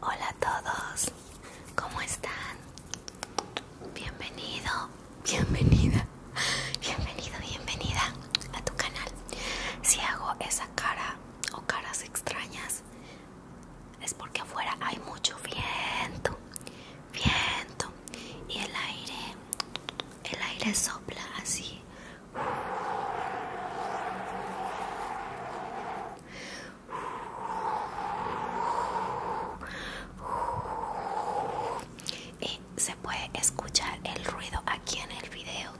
Hola a todos, ¿cómo están? Bienvenido, bienvenida, bienvenido, bienvenida a tu canal. Si hago esa cara o caras extrañas es porque afuera hay mucho viento, viento y el aire, el aire sopla así. Y se puede escuchar el ruido aquí en el video.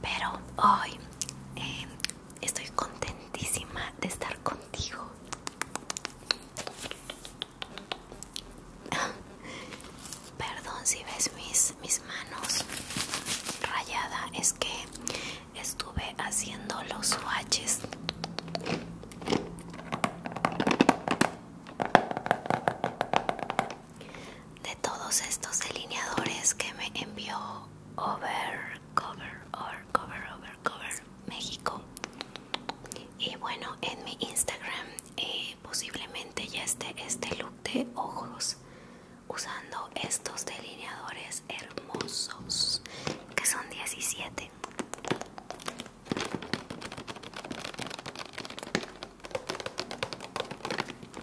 Pero hoy eh, estoy contentísima de estar con Perdón si ves mis, mis manos rayada, es que estuve haciendo los swatches. De todos estos delineadores que me envió Over cover or cover over cover México y bueno en mi Instagram eh, posiblemente ya esté este look de ojos usando estos delineadores hermosos que son 17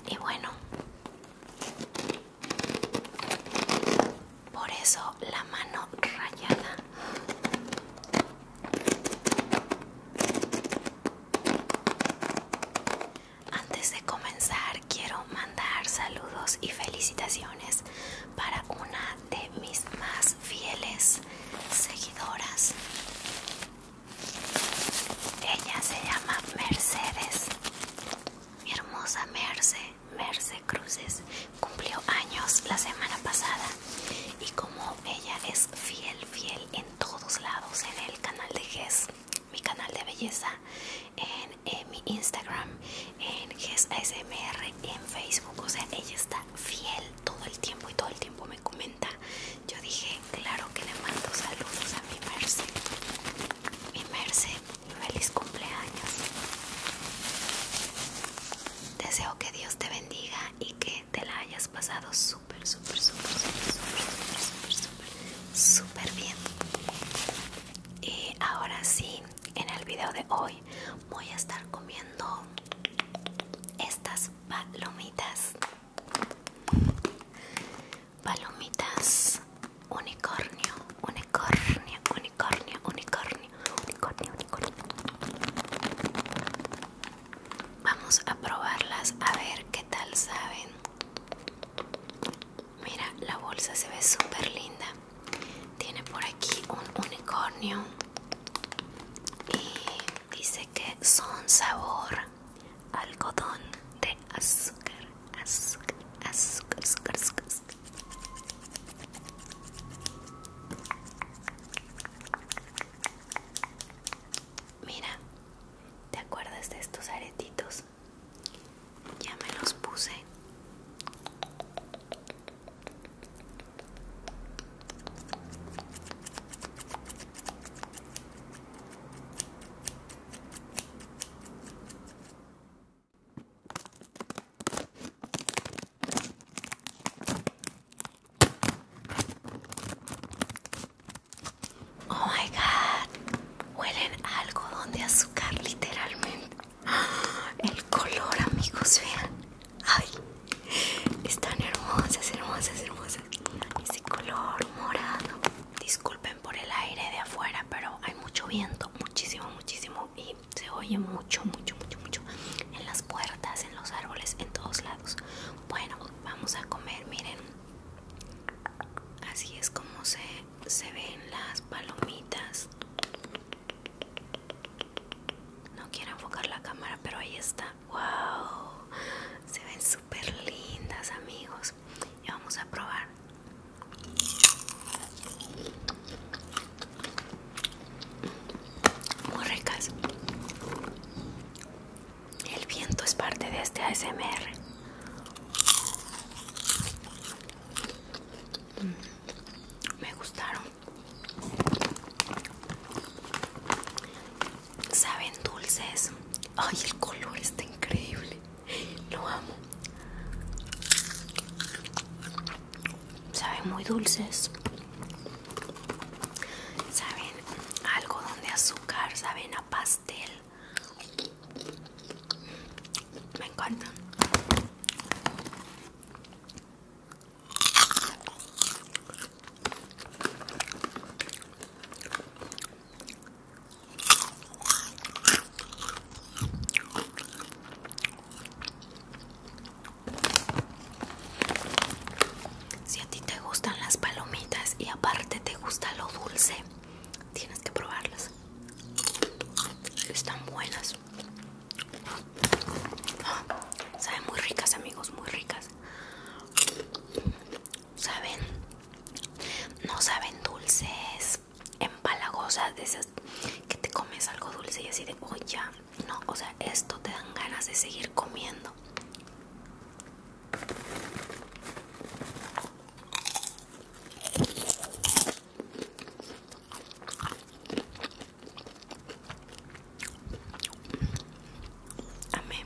y bueno por eso la mano rayada. Antes de comenzar quiero mandar saludos y felicitaciones para una de mis más fieles seguidoras. Ella se llama Mercedes. Mi hermosa Merce, Merce Cruces cumplió años la semana pasada y como ella es fiel, fiel en todos lados, en el canal de GES, mi canal de belleza, en, mi Instagram, en GES ASMR, en Facebook, o sea, ella está fiel todo el tiempo y todo el tiempo me comenta. Yo dije, claro que le mando saludos a mi Merce. Mi Merce feliz cumpleaños. Deseo que Dios te bendiga y que te la hayas pasado súper, súper, súper, súper, súper, súper, súper, súper bien. Y ahora sí, en el video de hoy voy a estar comiendo estas palomitas palomitas unicornio unicornio unicornio unicornio unicornio unicornio vamos a probarlas a ver qué tal saben mira la bolsa se ve súper linda tiene por aquí un unicornio y dice que son sabor algodón de azúcar Mira, ¿te acuerdas de estos aretitos? Ya me los puse. Oh my god, huelen algo algodón de azúcar literalmente. El color, amigos, vean. Ay, están hermosas, hermosas, hermosas. Ese color morado disculpen por el aire de afuera, pero hay mucho viento, muchísimo, muchísimo, y se oye mucho, mucho, mucho, mucho en las puertas, en los árboles, en todos lados. Bueno, vamos a comer, miren. Así es como se, ven las palomitas. No quiero enfocar la cámara, pero ahí está. ¡Wow! Se ven súper lindas, amigos. Y vamos a probar muy ricas. El viento es parte de este ASMR. Mm, me gustaron. Saben dulces. Ay, el color está increíble. Lo amo. Saben muy dulces. Saben algo donde azúcar. Saben a pastel. Me encantan. Si a ti te gustan las palomitas y aparte te gusta lo dulce, tienes que probarlas. Están buenas. Ah, saben muy ricas amigos, muy ricas saben no saben dulces empalagosas de esas que te comes algo dulce y así de oh ya no o sea esto te dan ganas de seguir comiendo amén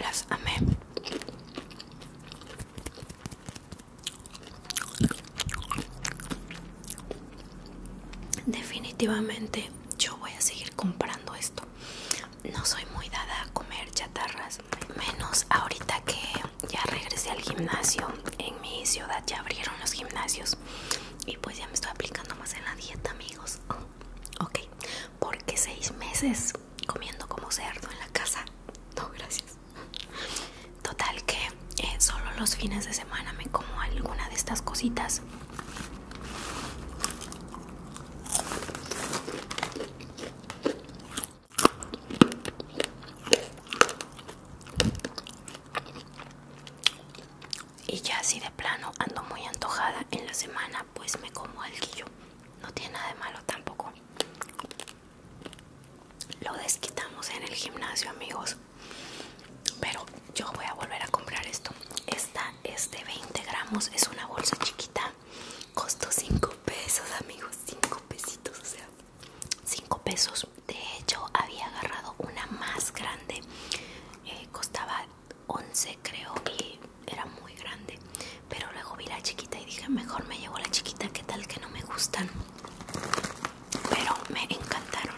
Las amé. Definitivamente yo voy a seguir comprando esto. No soy muy dada a comer chatarras, menos ahorita que ya regresé al gimnasio. En mi ciudad ya abrieron los gimnasios y pues ya me estoy aplicando más en la dieta, amigos. ok, porque seis meses comiendo como cerdo en la casa. No, gracias. Total que eh, solo los fines de semana me como alguna de estas cositas. Y ya así de plano ando muy antojada en la semana, pues me como el No tiene nada de malo tampoco. Lo desquitamos en el gimnasio, amigos. Pero yo voy a volver a comprar esto. Esta es de 20 gramos, es una bolsa chiquita. Costó 5 pesos, amigos. 5 pesitos, o sea, 5 pesos. De hecho, había agarrado una más grande. Eh, costaba 11, creo, y era muy grande. Pero luego vi la chiquita y dije, mejor me llevo la chiquita. ¿Qué tal que no me gustan? pero me encantaron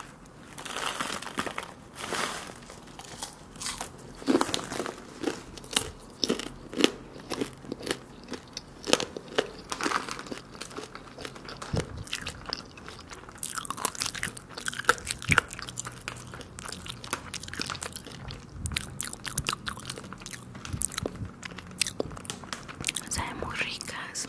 Saben muy ricas.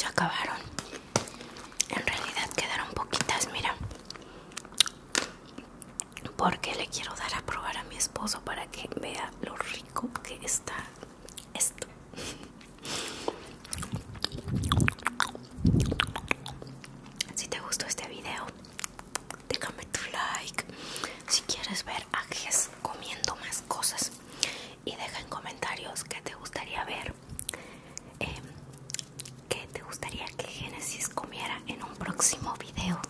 Ya acabaron. En realidad quedaron poquitas, mira. Porque le quiero dar a probar a mi esposo para que vea lo rico que está esto. Si te gustó este video, déjame tu like si quieres ver a comiendo más cosas y deja en comentarios que te gustaría ver que em, qué te gustaría que genesis comiera en un próximo video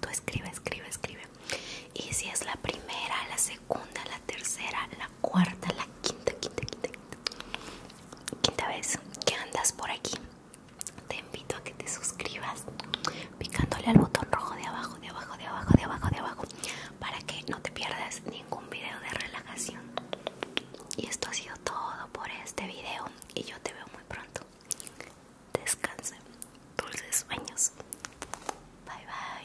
tú escribe escribe escribe y si es la primera la segunda la tercera la cuarta la quinta quinta quinta quinta, quinta vez que andas por aquí te invito a que te suscribas picándole al botón rojo de abajo, de abajo, de abajo, de abajo, de abajo, para que no te pierdas ningún video de relajación. Y esto ha sido todo por este video y yo te veo muy pronto. descansen dulces sueños. Bye bye.